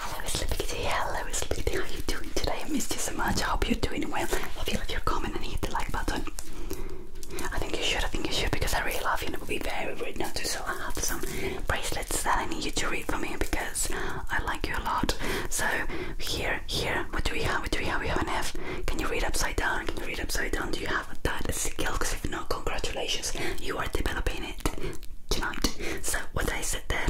Hello Sleepy Kitty, hello Sleepy how are you doing today? I missed you so much, I hope you're doing well. If you leave your comment and hit the like button. I think you should, I think you should because I really love you and it would be very rude not to. So I have some bracelets that I need you to read for me because I like you a lot. So here, here, what do we have? What do we have? We have an F. Can you read upside down? Can you read upside down? Do you have that skill because if not, congratulations, you are developing it tonight. So, what I said there,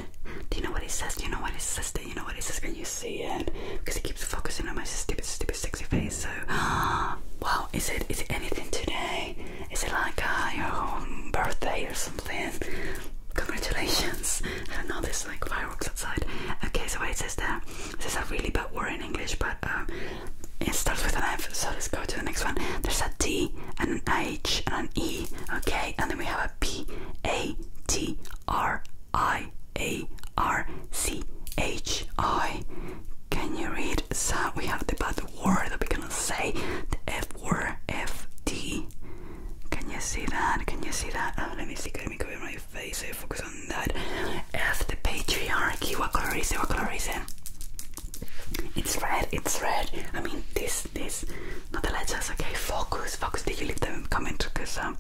do you know what it says? Do you know what it says? Do you know what it says? Can you see it? Because he keeps focusing on my stupid, stupid, sexy face. So, wow, is it is it anything today? Is it like uh, your birthday or something? Congratulations! I don't know, there's like fireworks outside. Okay, so what it says there, this is a really bad word in English, but um, it starts with an F, so let's go to the next one. There's a D and an H and an E, okay, and then we have a P, A, T, R, I, A, R, C, H, I. Can you read? So we have the bad word that we cannot say, the F word, F, D. Can you see that? Can you see that? Oh, let me see. Let me cover my face. So focus on that F patriarchy, what color is it? What color is it? Eh? It's red, it's red. I mean, this, this, not the letters, okay? Focus, focus. Did you leave them comment? Because um,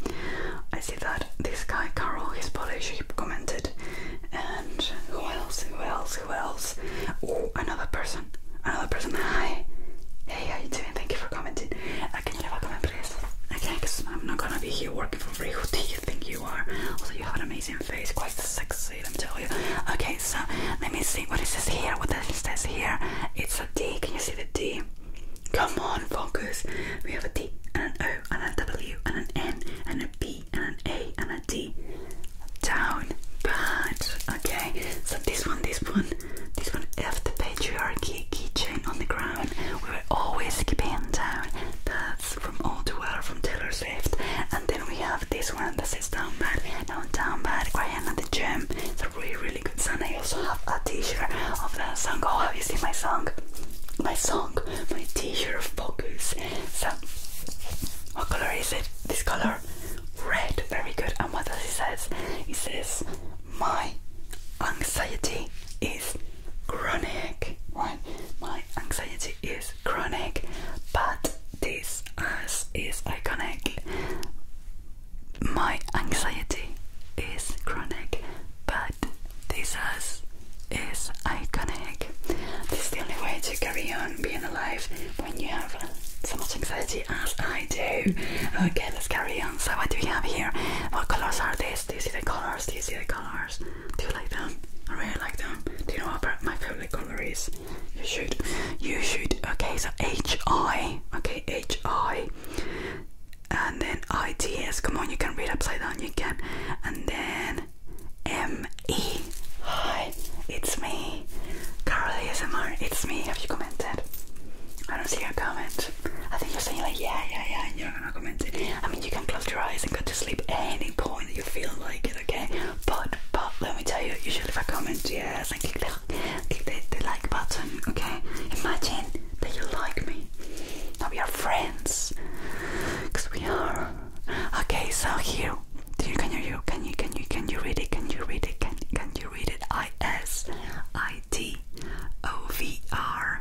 I see that this guy, Carol, he's Polish, he commented. And who else? Who else? Who else? Oh, another person. Another person. Hi. Hey, how you doing? Thank you for commenting. Uh, can you leave a comment, please? Okay, because I'm not gonna be here working for free. Who do you think you are? Also, you have an amazing face, quite sexy, let me tell you. Okay, so let me see what it says here. What it says here? It's a D. Can you see the D? Come on, focus. We have a D and an O and an W and an N and a B and an A and a D. Down bad. Okay, so this one, this one, this one. After patriarchy keychain on the ground. We were always keeping down. That's from All Too Well from Taylor Swift. And then we have this one that says Down Bad. Now Down Bad by Hannah the Gem. It's a really really good song. I also have a t-shirt of that song. Oh have you seen my song? My song, my t-shirt of focus. So what colour is it? This colour? Red, very good. And what does it say? It says my anxiety is chronic. Right? My anxiety is chronic, but this as is iconic. My anxiety is chronic, but this as is iconic. This is the only way to carry on being alive when you have so much anxiety as I do. Okay, let's carry on. So, what do we have here? What colors are these? Do you see the colors? Do you see the colors? Do you like them? I really like them. Do you know what my favorite color is? You should. You should. Okay, so H I. Okay, H I. And then I T S. Come on, you can read upside down. You can. And then M E. Hi, it's me. Carol ASMR. It's me. Have you commented? I don't see your comment. I think you're saying like yeah, yeah, yeah, and you're not gonna comment it. I mean, you can close your eyes and go to sleep any point you feel like it, okay? But but let me tell you, you should leave a comment, yes, and click the click the, like button, okay? Imagine that you like me. Now we are friends. Cause we are. Okay, so here do you can you can you can you can you read it? Can you read it? Can can you read it? I S I T O V R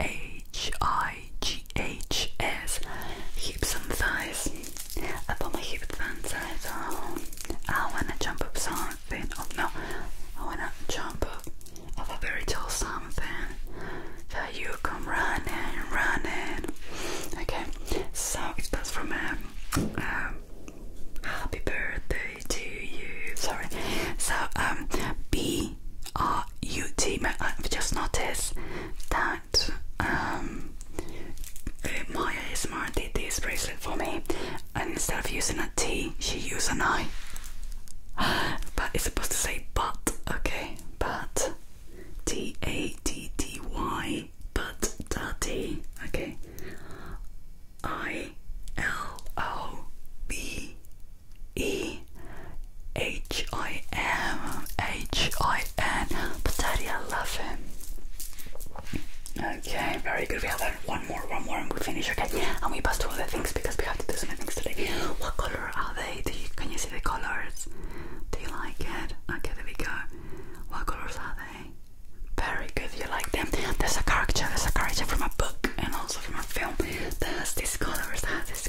H I G H S hips and thighs. I thought my hips and thighs are. I wanna jump up something. Oh no, I wanna jump up a very tall something. So you come running, running. Okay, so it from um, um, Happy birthday to you. Sorry. So um, B E R U T. I've just noticed that um, Maya Ismar did this bracelet for me, and instead of using a T, she used an I. But it's supposed to say but, okay? But T A T T Y, but daddy, okay? I L O B E H I M H I N. But Daddy, I love him. Okay, very good. We have one more, one more, and we finish. Okay, and we pass to other things because we have to do some things today. What color are they? Do you can you see the colors? Do you like it? Okay, there we go. What colors are they? Very good, you like them. There's a character, there's a character from a book and also from a film that has these colors, that has these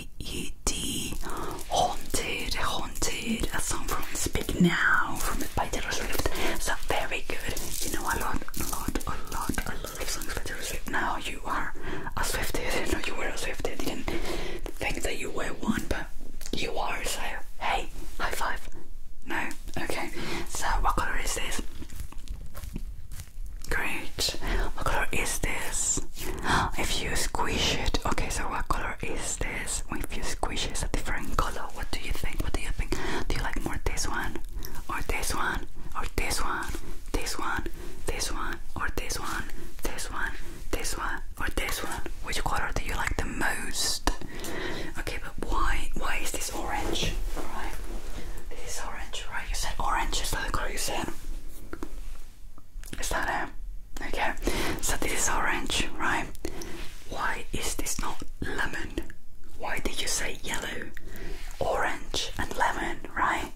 H-A-U-N-T Haunted, Haunted, a song from Speak Now from by Taylor Swift. So very good. You know a lot, a lot, a lot, a lot of songs by Taylor Swift. Now you are a Swiftie. I didn't know you were a Swiftie. I didn't think that you were one, but you are. So hey, high five. No, okay. So what color is this? Great. What color is this? If you squish it, okay. So what color is this? If you squish it, it's a different color. What do you think? What do you think? Do you like more this one, or this one, or this one, this one, this one, or this one, this one, this one, or this one? Which color do you like the most? Okay, but why? Why is this orange? All right. This orange, right? You said orange is the color is that it? Okay, so this is orange, right? Why is this not lemon? Why did you say yellow, orange, and lemon, right?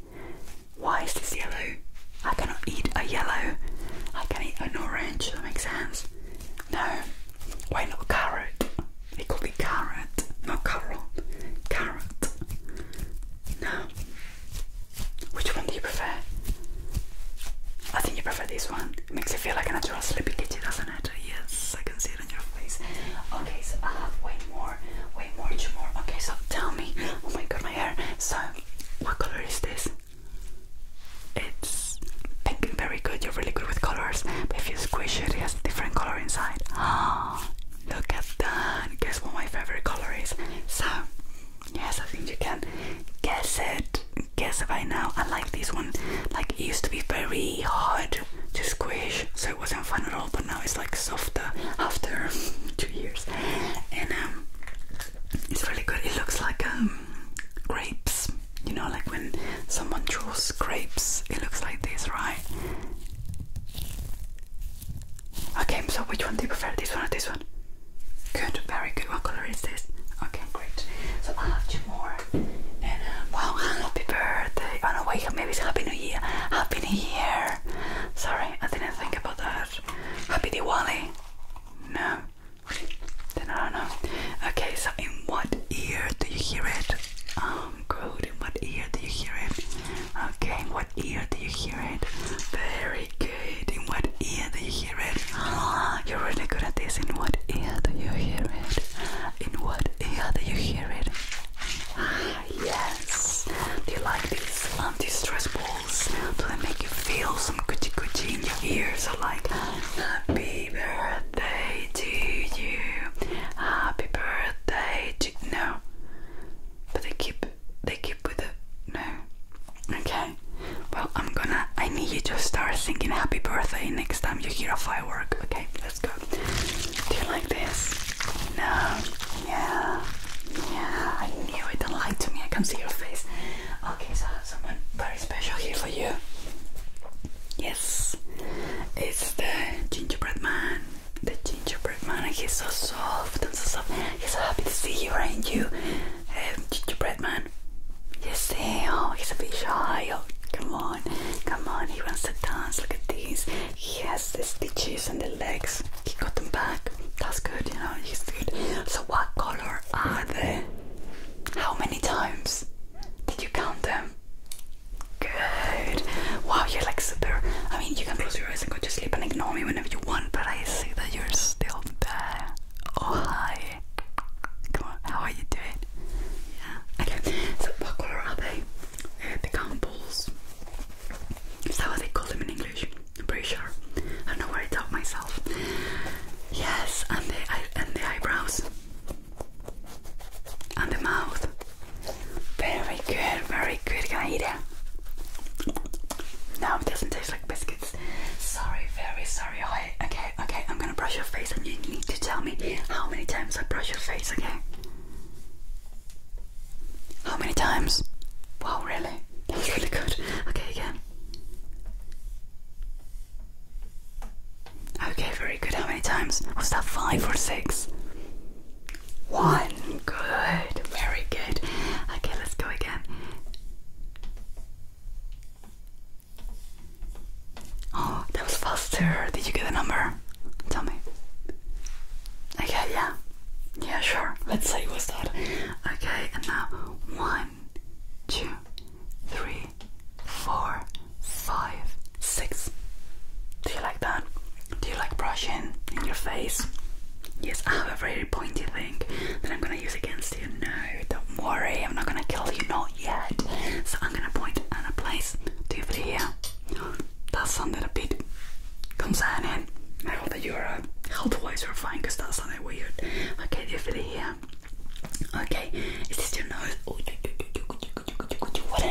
Why is this yellow? I cannot eat a yellow. I can eat an orange, that makes sense. No, why not carrot? It could be carrot, not carrot. Carrot. No, which one do you prefer? I think you prefer this one. It makes you feel like a natural sleepy kitty, doesn't it? Yes, I can see it on your face. Okay, so I have way more, way more, two more. Okay, so tell me. Oh my god, my hair. So, what color is this? It's pink. Very good. You're really good with colors. if you squish it, it has different color inside. Ah, Look at that. Guess what my favorite color is. So, yes, I think you can guess it. Guess it right now. I like this one. Like, it used to be very hard to squish, so it wasn't fun at all, but now it's like softer after two years. And um, it's really good. It looks like um, grapes. You know, like when someone draws grapes, it looks like this, right? Okay, so which one do you prefer? This one or this one? Good, very good. What color is this? Okay, great. So I'll have two more. And uh, wow, happy birthday. Oh no, wait, maybe it's happy new year. Happy new year. Sorry, I didn't think about that. Happy Diwali. No. Then I don't know. Okay, so in what ear do you hear it? Um, good. In what ear do you hear it? Okay, in what ear do you hear it? Very good. In what ear do you hear it? you're really good at this. In what ear do you hear it? In what ear do you hear it? Ah, yes. Do you like these anti-stress balls? Do they make you feel some coochie coochie in your ears? Or like happy birthday to you? Happy birthday to no. But they keep they keep with it. No. Okay. Well I'm gonna I need you to start thinking happy birthday next time you hear a firework. Okay, let's go. Do you like this? No. Yeah. Yeah, I knew it. Don't lie to me. I can see your face. Okay, so someone very special here for you. Yes, it's the gingerbread man the gingerbread man, he's so soft and so soft. He's so happy to see you, aren't um, gingerbread man? You see? oh, he's a bit shy. Oh, come on, come on, he wants to dance. Look at these. He has the stitches on the legs. He got them back. That's good, you know. He's good. So, what color are they? How many times did you count them? Good. Wow, you're like super. I mean, you can close your eyes and just to and ignore me whenever you want, but I see that you're still there. Oh, hi. Come on, how are you doing? Yeah. Okay, so what colour are they? the gambles. Is that what they call them in English? I'm pretty sure. I don't know where I taught myself. Yes, and the, and the eyebrows. And the mouth. Very good, very good. Can I eat it? No, it doesn't taste like biscuits. Sorry, very sorry. Okay, okay, I'm gonna brush your face and you need to tell me how many times I brush your face, okay? How many times? Wow, really? That really good. Okay, again. Okay, very good. How many times? Was that five or six? One. Good. Very good. Okay, let's go again. Oh, that was faster. Did you get the number? Tell me. Okay, yeah. Yeah, sure. Let's see what's that. Okay, and now one, two, three, four, five, six. Do you like that? Do you like brushing in your face? Yes, I have a very pointy thing that I'm gonna use against you. No, don't worry, I'm not gonna kill you, not yet. So I'm gonna point at a place. Do you feel here? That sounded a bit concerning. I hope that you're uh, health wise you're fine because that sounded weird. Okay, do you feel here? Okay, it's just your nose?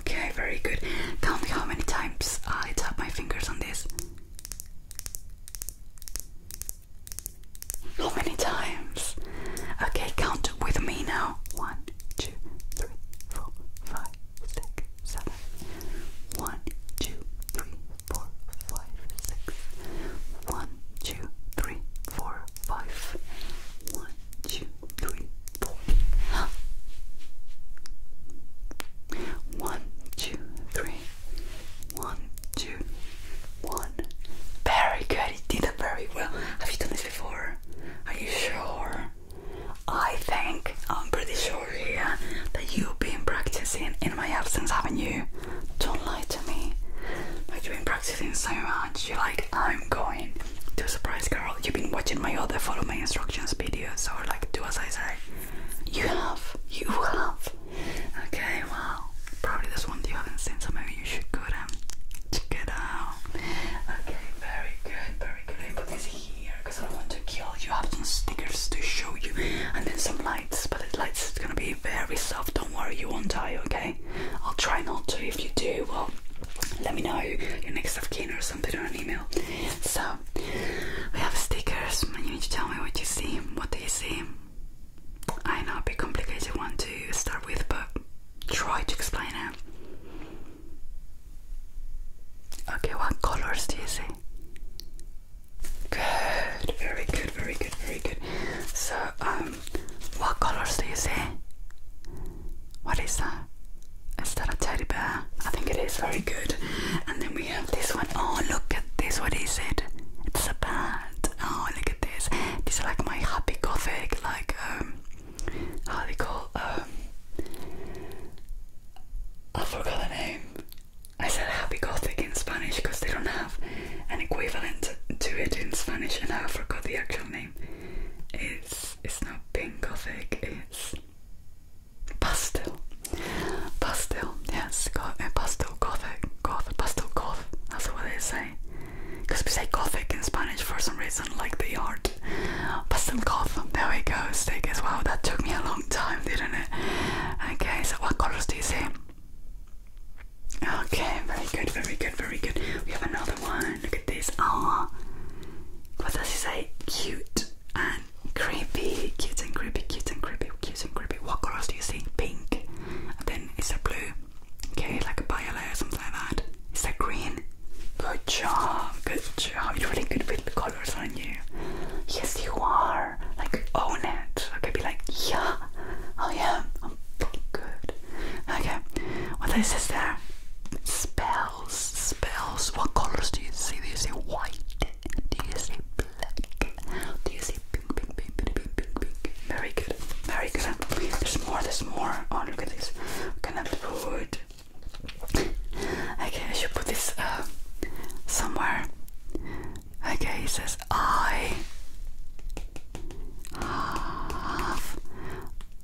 Okay, very good. Tell me how many times I tap my fingers on this. How many times? Okay, count with me now. One, two, three, four, five, six, seven. One, two, three, four, five, six. One, two, three, four, five. One, two, three, four. Very good. You did it very well. Have you done this before? Are you sure? I think I'm pretty sure here yeah, that you've been practicing in my absence, haven't you? Don't lie to me. Like you've been practicing so much. You're like, I'm going to surprise girl. You've been watching my other follow my instructions videos or like do as I say. You have. You have. Okay, well, probably this one you haven't seen, so maybe you should go and check it out. Okay, very good, very good. I put this here because I want to kill you. I have some stickers to show you and then some lights, but the lights is gonna be very soft. Don't worry, you won't die, okay? I'll try not to. If you do, well, let me know your next of kin or something or an email. So we have stickers and you need to tell me what you see. What do you see? I know, a bit complicated one to start with, but try to explain it. Okay, what colors do you see? Good, very good, very good, very good. So, um, what colors do you see? What is that? Is that a teddy bear? I think it is. Very good. And then we have this one. Oh, look at this. What is it? It's a bat. Oh, look at this. This is like my happy gothic, like, um, how they call, um, I forgot the name. I said happy gothic in Spanish because they don't have an equivalent to it in Spanish, and I forgot the actual name. It's it's not pink gothic. It's Pastel. Pastel. Yes, uh, pastel gothic. Gothic, pastel goth. That's what they say. Because we say gothic in Spanish for some reason, like the art. Pastel goth. There we go. Stick as well. That took me a long time, didn't it? Okay, so what colors do you see? Okay, very good, very good, very good. We have another one. Look at this. Ah, oh, what does he say? Cute and creepy, cute and creepy, cute and creepy, cute and creepy. What colors do you see? Pink. And then is there blue? Okay, like a violet or something like that. Is there green? Good job, good job. You're really good with the colors, aren't you? Yes, you are. Like own it. Okay, be like, yeah, oh yeah, I'm fucking good. Okay, What is this? there? Spell spells, What colors do you see? Do you see white? Do you see black? Do you see Very good, very good. There's more, there's more. Oh, look at this. I put... Okay, I should put this uh, somewhere. Okay, it says I have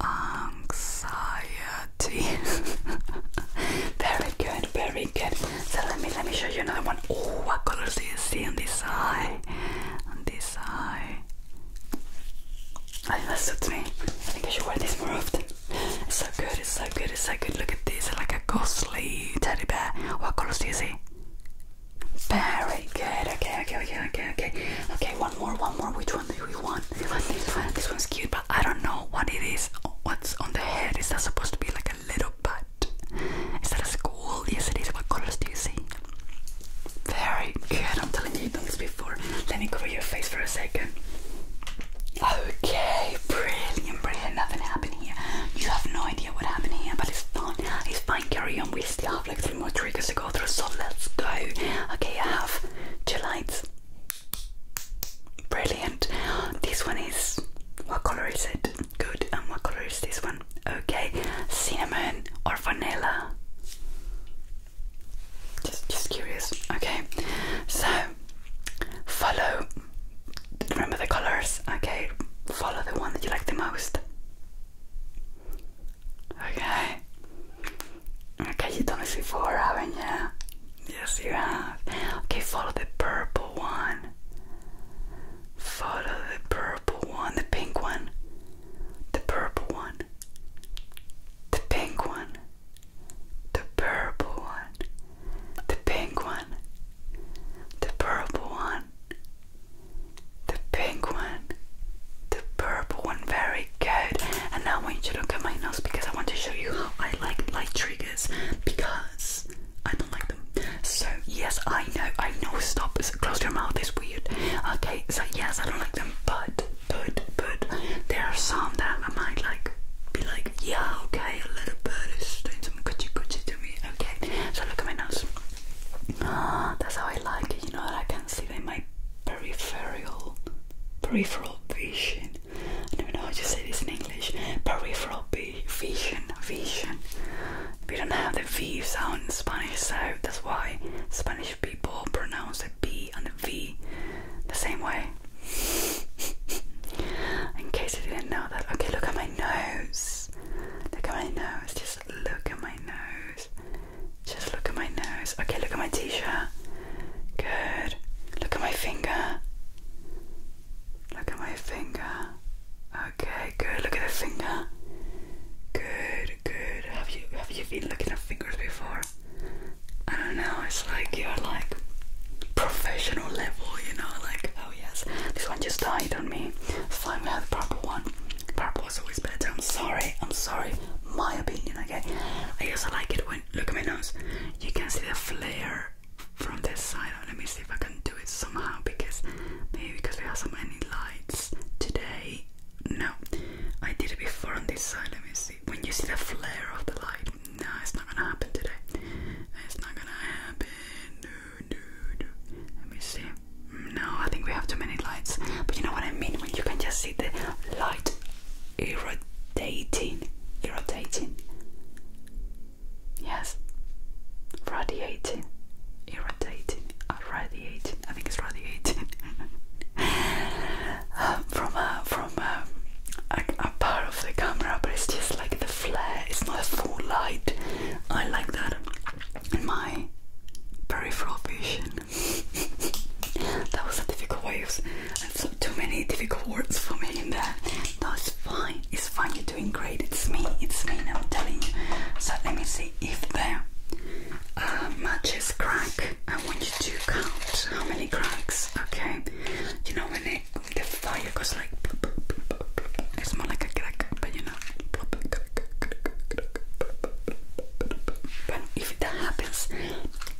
anxiety. very good, very good. So let me let me show you another one. Oh, what colors do you see on this eye? On this eye. I think that suits me. I think I should wear this more often. so good, it's so good, it's so good. Look at this, like a ghostly teddy bear. What colors do you see? Very good. Okay, okay, okay, okay, okay. Okay, one more, one more. Which one do we want? this one's cute, but I don't know what it is. What's on the head? Is that supposed to be like a little butt? Is that a school? Yes, it is. What colors do you see? Very good. I'm telling you, you've done this before. Let me cover your face for a second. Okay, brilliant, brilliant. Nothing happened here. You have no idea what happened here, but it's fine. It's fine. Carry on. We still have like three more triggers to go through, so let's go. Okay, I have two lights. Brilliant. This one is what color is it? Good. And what color is this one? Okay, cinnamon or vanilla? Just, just curious. Okay, so follow. Remember the colors. Okay, follow the one that you like the most. Okay, Okay, you told me before, haven't you? Yes, you have. Okay, follow the purple one. Follow the purple one, the pink one, the purple one, the pink one, the purple one, the pink one, the purple one, the pink one, the purple one. Very good. And now I want you to look at my nose because I want to show you how I like light triggers because I don't like them. So yes, I know, I know. Stop. Close your mouth. It's weird. Okay. So yes, I don't like them, but but but there are some that I might like. Be like, yeah, okay, a little bird is doing some cutchy cutchy to me. Okay. So look at my nose. Ah, that's how I like it. You know, I can see that my peripheral peripheral vision I don't know how to say this in English. Peripheral vision, vision. We don't have the V sound in Spanish, so that's why Spanish people pronounce the B and the V the same way. in case you didn't know that. Okay, look at my nose. Look at my nose. Just look at my nose. Just look at my nose. Okay, look at my t-shirt. Good. Look at my finger. Look at my finger. Okay, good. Look at the finger. Good, good. Have you have you been looking at fingers before? I don't know. It's like you're like professional level, you know. Like oh yes, this one just died on me. Finally, fine. We the purple one. Purple is always better. I'm sorry. I'm sorry. My opinion. Okay. I also like it when look at my nose. You can see the flare from this side. Let me see if I can do it somehow because maybe because we have so many lights today. No, I did it before on this side. Let me see. When you see the flare of the light, no, it's not gonna happen today. It's not gonna happen. Let me see. No, I think we have too many lights. But you know what I mean? When you can just see the light irritating, irritating. Yes, radiating, irritating, uh, radiating. I think it's radiating um, from uh, um, a from a, part of the camera, but it's just like the flare. It's not a full light. I like that in my peripheral vision. that was a difficult way of so too many difficult words for me in there. That's fine. It's fine. You're doing great. It's me. It's me. I'm telling you. So let me see if there uh, matches crack. I want you to count how many cracks. Okay. You know when the fire goes like. It's more like a crack, but you know. But if that happens,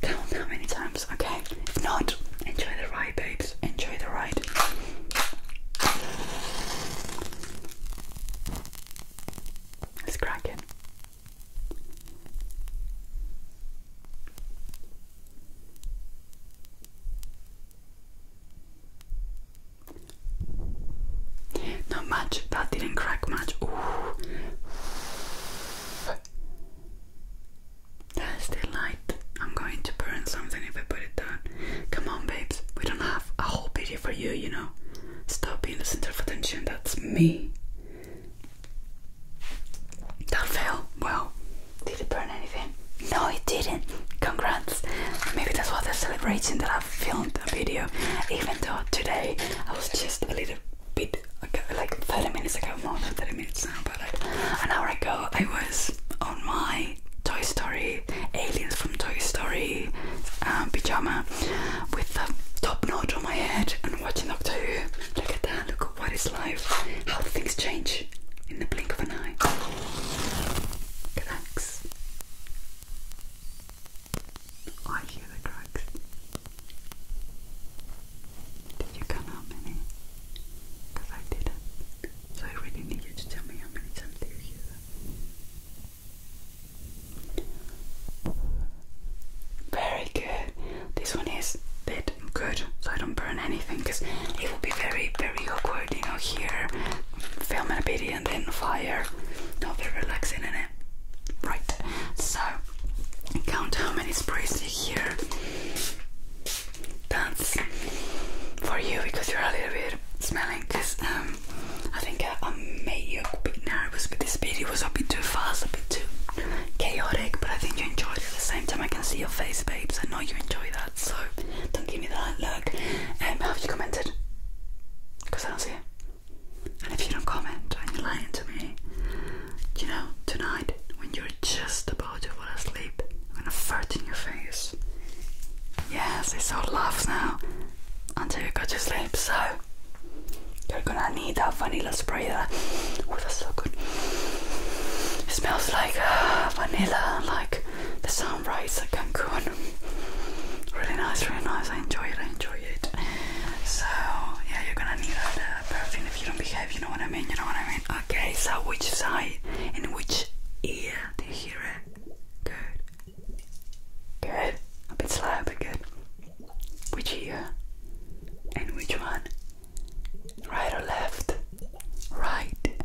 count how many times okay? not, enjoy the ride, babes. Enjoy the ride. Let's crack it. Not much. That didn't crack much. There's still light. I'm going to burn something if I put it down. Come on, babes. We don't have a whole video for you, you know. Stop being the center of attention. That's me. That fell. Well, did it burn anything? No, it didn't. Congrats. Maybe that's what they're that I filmed a video, even though today I was just a little bit like 30 minutes ago, more than 30 minutes but like an hour ago, I was on my Toy Story Aliens from Toy Story um, pyjama with the top knot on my head and watching Doctor Who. Look at that, look at what is life, how things change in the blink of an eye. Cracks. I hear the cracks. Did you count how many? Because I didn't. So I really need you to tell me how many times you Very good. This one is bit good, so I don't burn anything, because it will be very, very awkward, you know, here, filming a video and then fire. Not very relaxing it? Right. So count how many sprays you hear. That's for you because you're a little bit smelling because um I think I, I made you a bit nervous this video. It was a bit too fast, a bit too chaotic, but I think you enjoyed it at the same time. I can see your face, babes. I know you enjoy that, so don't give me that look. Um, have you commented? Because I don't see it. And if you don't comment and you're lying to me, you know, tonight when you're just about to fall asleep, I'm gonna fart in your face. Yes, it's all laughs now until you go to sleep, so you're gonna need that vanilla spray that oh that's so good. It smells like uh, vanilla, like the sunrise at Cancun. Really nice, really nice. I enjoy it, I enjoy so yeah, you're gonna need a uh, perfume if you don't behave. You know what I mean? You know what I mean? Okay. So which side and which ear do you hear it? Good. Good. A bit slow, but good. Which ear and which one? Right or left? Right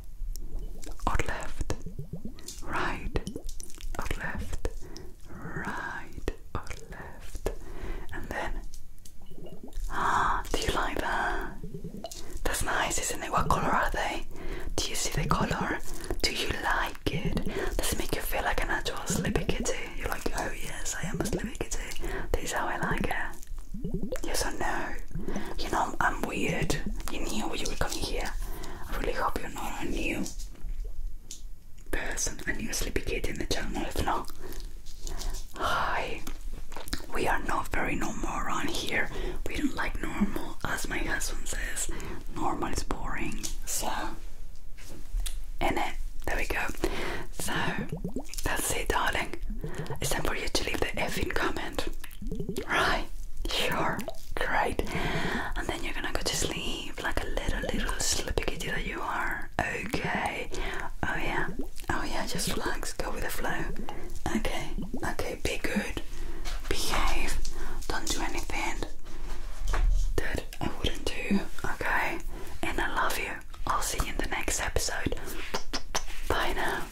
or left? Right or left? right or left, and then. Ah, do you like that? That's nice, isn't it? What color are they? Do you see the color? Do you like it? Does it make you feel like an actual sleepy kitty? You're like, oh yes, I am a sleepy kitty. This is how I like it. Yes or no? You know, I'm weird. You knew you were coming here. I really hope you're not new person and you sleepy kid in the channel if not hi we are not very normal around here we don't like normal as my husband says normal is boring so and it there we go so that's it darling it's time for you to leave the effing comment right sure great and then you're gonna go to sleep like a little, little sleepy kitty that you are. Okay. Oh, yeah. Oh, yeah. Just relax. Go with the flow. Okay. Okay. Be good. Behave. Don't do anything that I wouldn't do. Okay. And I love you. I'll see you in the next episode. Bye now.